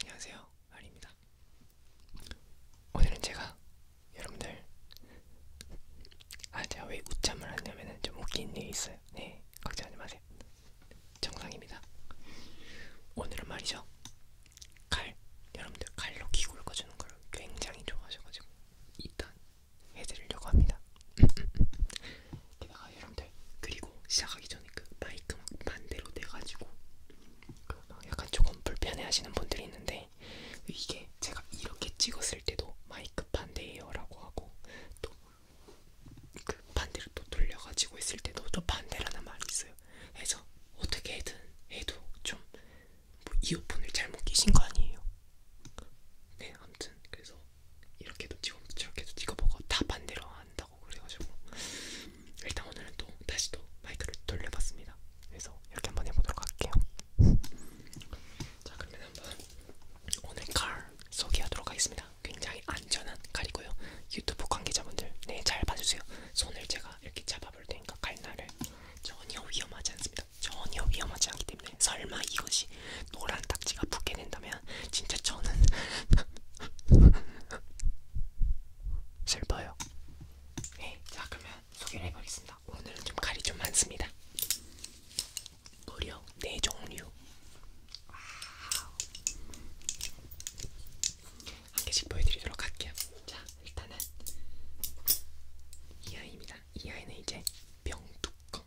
안녕하세요 아리입니다 오늘은 제가 여러분들 아 제가 왜 웃참을 하냐면은 좀 웃긴 일이 있어요 네 걱정하지 마세요 정상입니다 오늘은 말이죠 칼 여러분들 칼로 기구 긁어주는 걸 굉장히 좋아하셔가지고 일단 해드리려고 합니다 게다가 여러분 돼. 그리고 시작하기 전에 그 마이크 막 반대로 돼가지고 그 약간 조금 불편해하시는 분들이 있는데 이게 제가 이렇게 찍었을 때도 마이크 반대예요라고 하고 또 그 반대로 또 돌려가지고 있을 때도 또 반대라는 말이 있어요. 그래서 어떻게든 해도 좀뭐 이어폰을 잘못 끼신 거 아니에요? 네, 아무튼 그래서 이렇게도 찍어 저렇게도 찍어보고 다 반대로 한다 하고 그래가지고 일단 오늘은 또 다시 또 마이크를 돌려봤습니다. 그래서 이렇게 한번 해보도록 할게요. 자 그러면 한번 오늘 칼 소개하도록 하겠습니다. 굉장히 안전한 칼이고요. 유튜브 관계자분들 네잘 봐주세요. 손을 제가 이렇게 잡아볼 테니까 칼날을 전혀 위험하지 않습니다. 전혀 위험하지 않기 때문에 설마 이것이 노란 딱지가 붙게 된다면 진짜 저는 슬퍼요. 네, 자 그러면 소개를 해보겠습니다. 오늘은 좀 칼이 좀 많습니다. 무려 네 종류. 한 개씩 보여드리도록 할게요. 자, 일단은 이 아이입니다. 이 아이는 이제 병뚜껑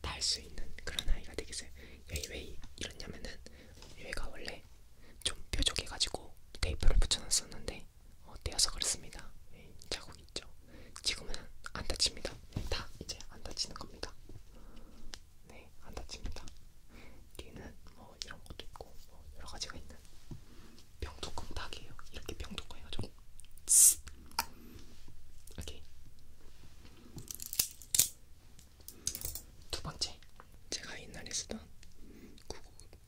달수 있는 그런 아이가 되겠어요. 여기 왜 이러냐면은 얘가 원래 이렇게 좀 뾰족해가지고 테이프를 붙여놨었는데 어, 떼어서 그렇습니다. 네, 자국 있죠. 지금은 안 다칩니다. 네, 다 이제 안 다치는 겁니다. 네, 안 다칩니다. 뒤에는 뭐 이런 것도 있고 뭐 여러 가지가 있는 병뚜껑 닭이에요. 이렇게 병뚜껑 해가지고 이렇게 두 번째, 제가 옛날에 쓰던 구구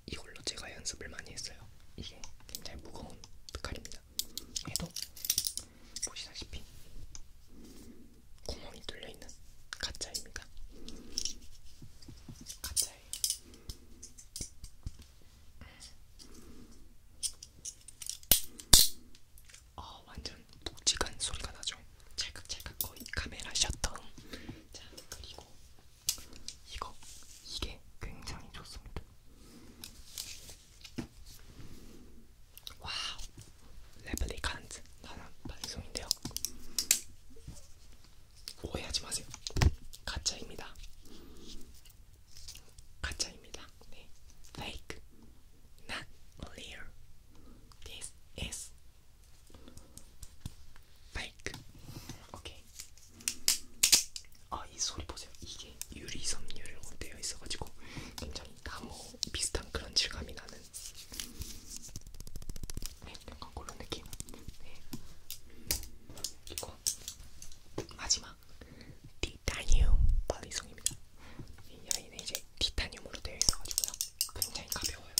이걸로 제가 연습을 많이 했어요. 이게 굉장히 무거운 칼입니다. 얘도 보시다시피 구멍이 뚫려 있는 가짜입니다. 가짜예요. 어, 완전 묵직한 소리가 나죠. 찰칵찰칵 거의 카메라 셔터. 자 그리고 이거 이게 굉장히 좋습니다. 와우 레플리칸트 나는 반송인데요. 오해하지 마세요. 가짜입니다. 가짜입니다. 네. Fake, not real. This is 파이크. 오케이. 아, 이 소리 보세요. 이게 유리 섬유로 되어 있어가지고 굉장히 나무 비슷한 그런 질감이 나는. 네, 약간 그런 느낌. 네. 이거 마지막 디타니움 네, 발리송입니다. 이 여인의 이제 티타늄으로 되어 있어가지고요. 굉장히 가벼워요.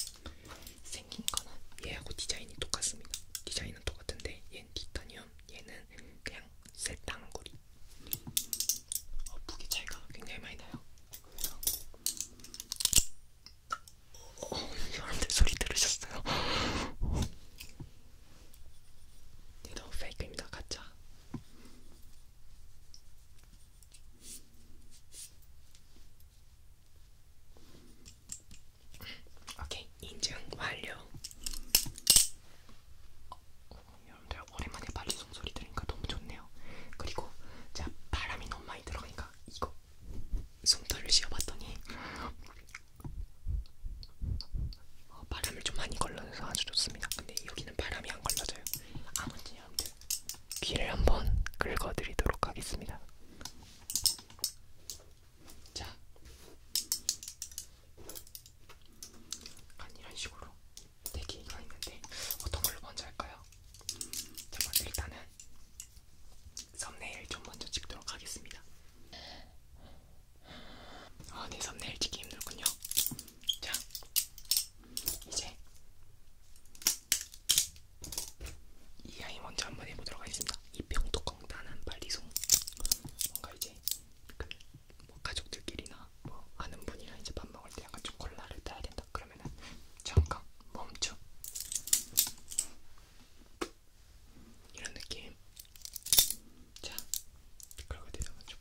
생긴 거는 얘하고 디자인이 똑같습니다. 디자인은 똑같은데 얘는 티타늄, 얘는 그냥 쇠땅구리. 어, 무게 차이가 굉장히 많이 나요. 그래서 어, 여러분들 소리 들으셨어요? 얘도 페이크입니다. 가짜. 오케이 인증 완료. 어, 여러분들 오랜만에 빨리 손소리 들으니까 너무 좋네요. 그리고 자 바람이 너무 많이 들어가니까 이거 솜털을 씌워봤더니 어, 바람을 좀 많이 걸러서 아주 좋습니다. 근데 여기는 바람이 안 걸러져요. 아무튼 여러분들 귀를 한번 긁어드리도록 하겠습니다. 자, 약간 이런 식으로 네 개가 있는데 어떤 걸로 먼저 할까요? 자, 먼저 일단은 썸네일 좀 먼저 찍도록 하겠습니다. 아, 네, 썸네일 찍기 힘들군요. 자, 이제 이 아이 먼저 한번 해보도록 하겠습니다. 이 병뚜껑따는 발리송 뭔가 이제 그뭐 가족들끼리나 뭐 아는 분이랑 이제 밥 먹을 때 약간 좀 콜라를 따야 된다 그러면은 잠깐 멈춰 이런 느낌. 자, 그러고 대단한 쪽.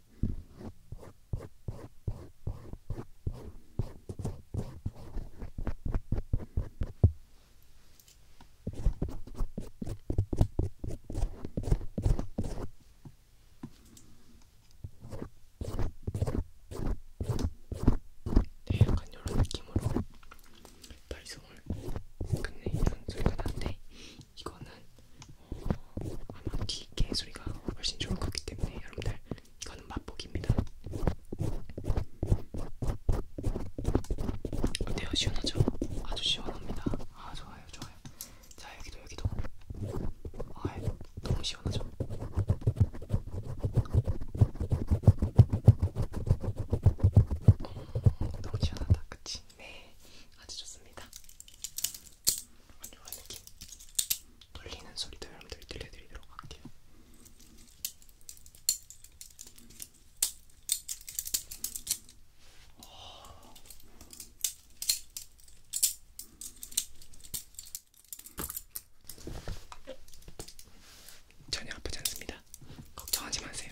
네, 약간 이런 느낌으로 발성을 끝내는 소리가 난데 이거는 아마 기계 소리가 훨씬 좋을 거기 때문에 여러분들 이거는 맛보기입니다. 어때요? 시원하죠? 아주 시원합니다. 아 좋아요, 좋아요. 자 여기도 여기도. 아 너무 시원하죠? 음, 너무 시원하다, 그치? 네, 아주 좋습니다. 안녕한 느낌 돌리는 소리도 여러분들이 들려드리도록 할게요. 전혀 아프지 않습니다. 걱정하지 마세요.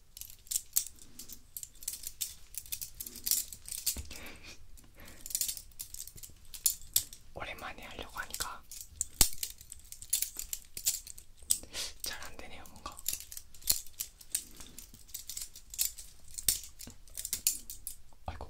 오랜만에 하려고 하니까 잘 안되네요 뭔가 아이고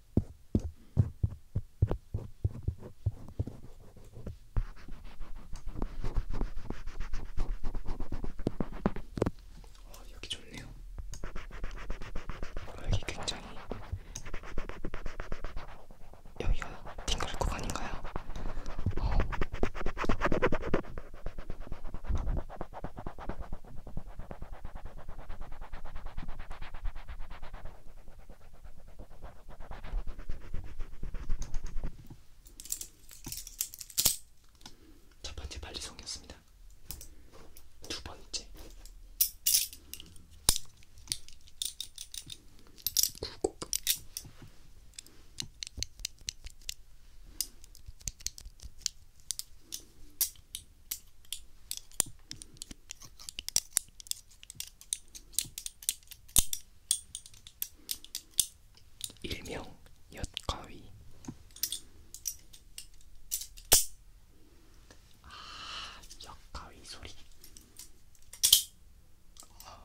어, 여기 좋네요. 아, 여기 굉장히 여기가 팅글 구간인가요? 어. 첫 번째 발리송이었습니다. 두 번째 굴곡 일명 엿가위 아, 엿가위 소리 아.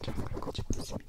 장을 가지고 있습니다.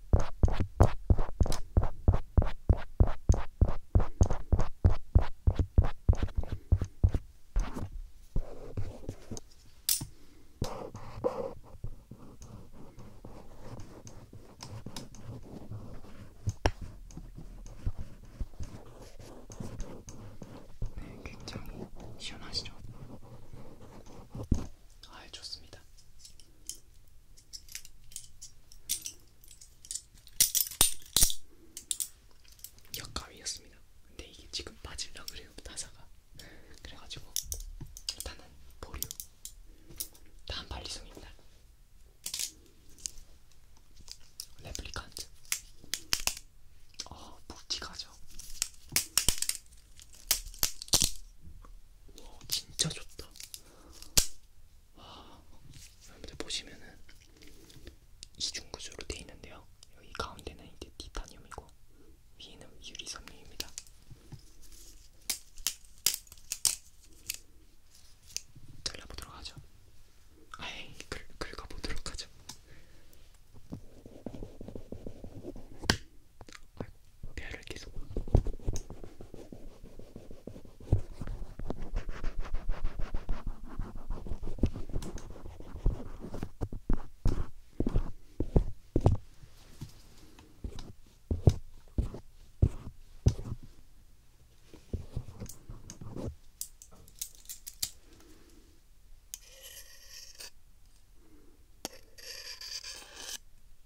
네, 굉장히 시원하시죠? 아, 좋습니다. 역가위였습니다. 근데 이게 지금 빠질라 그래요 타사가. 그래가지고 일단은 보류. 다음 발리송입니다. 레플리칸트. 어 묵직하죠. 와 진짜 좋다. 여러분들 보시면은 이중 구조로 되어 있는데요. 여기 가운데는 이제 티타늄이고 위에는 유리 섬유입니다. 잘라보도록 하죠. 아예 긁어보도록 하죠. 아이고, 배를 계속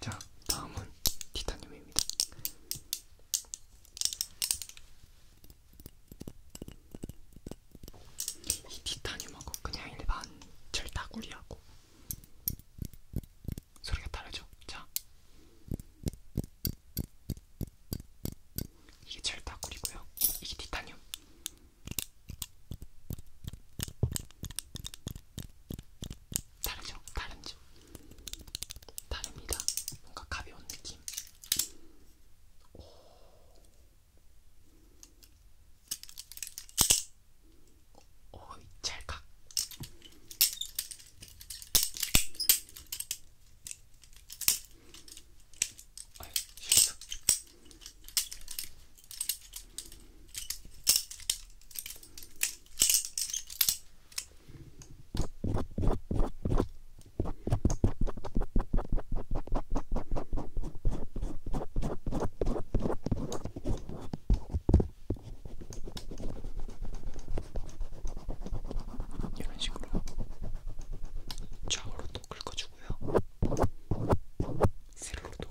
자, 다음은 티타늄입니다. 이 티타늄하고 그냥 일반 철다구리하고 소리가 다르죠? 자 이게 철다구리고요 이게 티타늄 다르죠? 다른지 다릅니다. 뭔가 가벼운 느낌. 오. 오이 찰칵 아이 실수 이런 식으로 좌우로도 긁어주고요. 세로로도.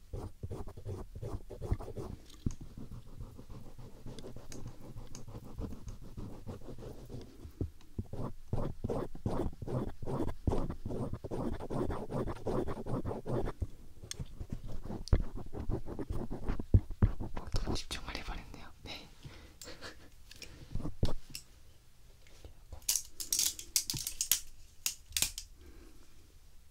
집중을 해버렸네요. 네.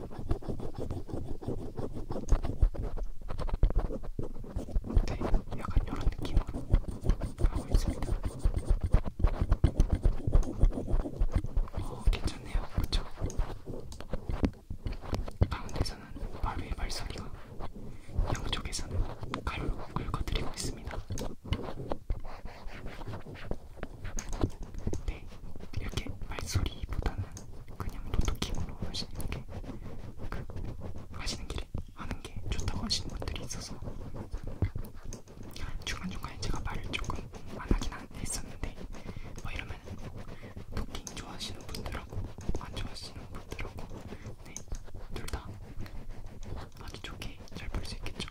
네, 약간 이런 느낌으로 하고 있습니다. 어, 괜찮네요, 그렇죠? 가운데서는 마루의 발소리가, 양쪽에서는 칼로 긁어드리고 있습니다. 네, 이렇게 발소리보다는 그냥 노트킹으로 하시는 게, 그 하시는 길에 하는 게 좋다고 하시는 분들이 있어서 중간 중간에 제가 말을 조금 안 하긴 했었는데 뭐 이러면 토킹 좋아하시는 분들하고 안 좋아하시는 분들하고 네, 둘다 아주 좋게 잘 볼 수 있겠죠.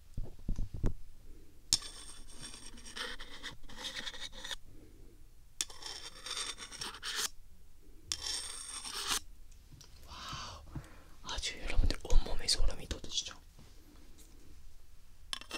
와우, 아주 여러분들 온몸에 소름이 돋으시죠? 와,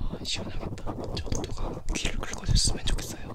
아 시원하겠다. 저도 누가 귀를 긁어줬으면 좋겠어요.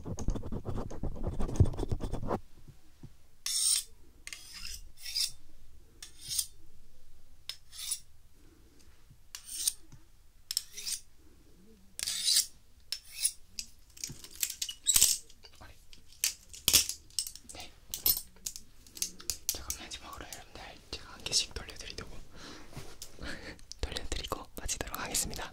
네. 제가 마지막으로 여러분들 제가 한 개씩 돌려드리려고 돌려드리고 마치도록 하겠습니다.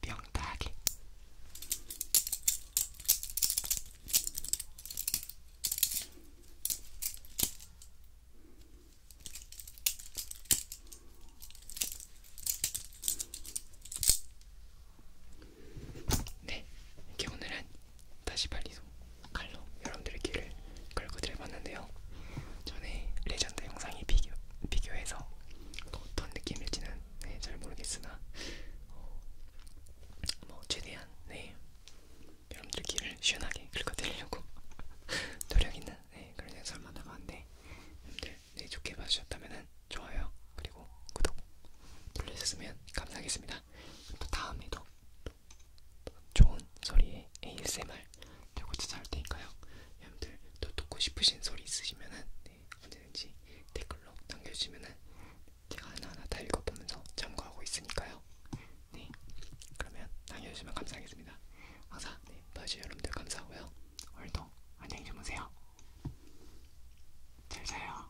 명탁이 네, 이게 오늘은 다시 발리소 칼로 여러분들의 귀를 걸고 드려봤는데요. 전에 레전드 영상이 비교, 비교해서 또 어떤 느낌일지는 네, 잘 모르겠으나 어, 뭐 최대한 네, 여러분들 귀를 시원하게 긁어드리려고 노력있는 네, 그런 영상을 만나봤는데 여러분들 네, 좋게 봐주셨다면 좋아요 그리고 구독 눌러주셨으면 감사하겠습니다. 또 다음에도 또 좋은 소리의 ASMR 들고 찾아올 테니까요. 여러분들 또 듣고 싶으신 소리 있으시면은 네, 언제든지 댓글로 남겨주시면은 제가 하나하나 다 읽어보면서 참고하고 있으니까요. 네, 그러면 남겨주시면 감사하겠습니다. 항상 네, 봐주신 여러분들 감사하고요. 오늘도 안녕히 주무세요. 잘 자요.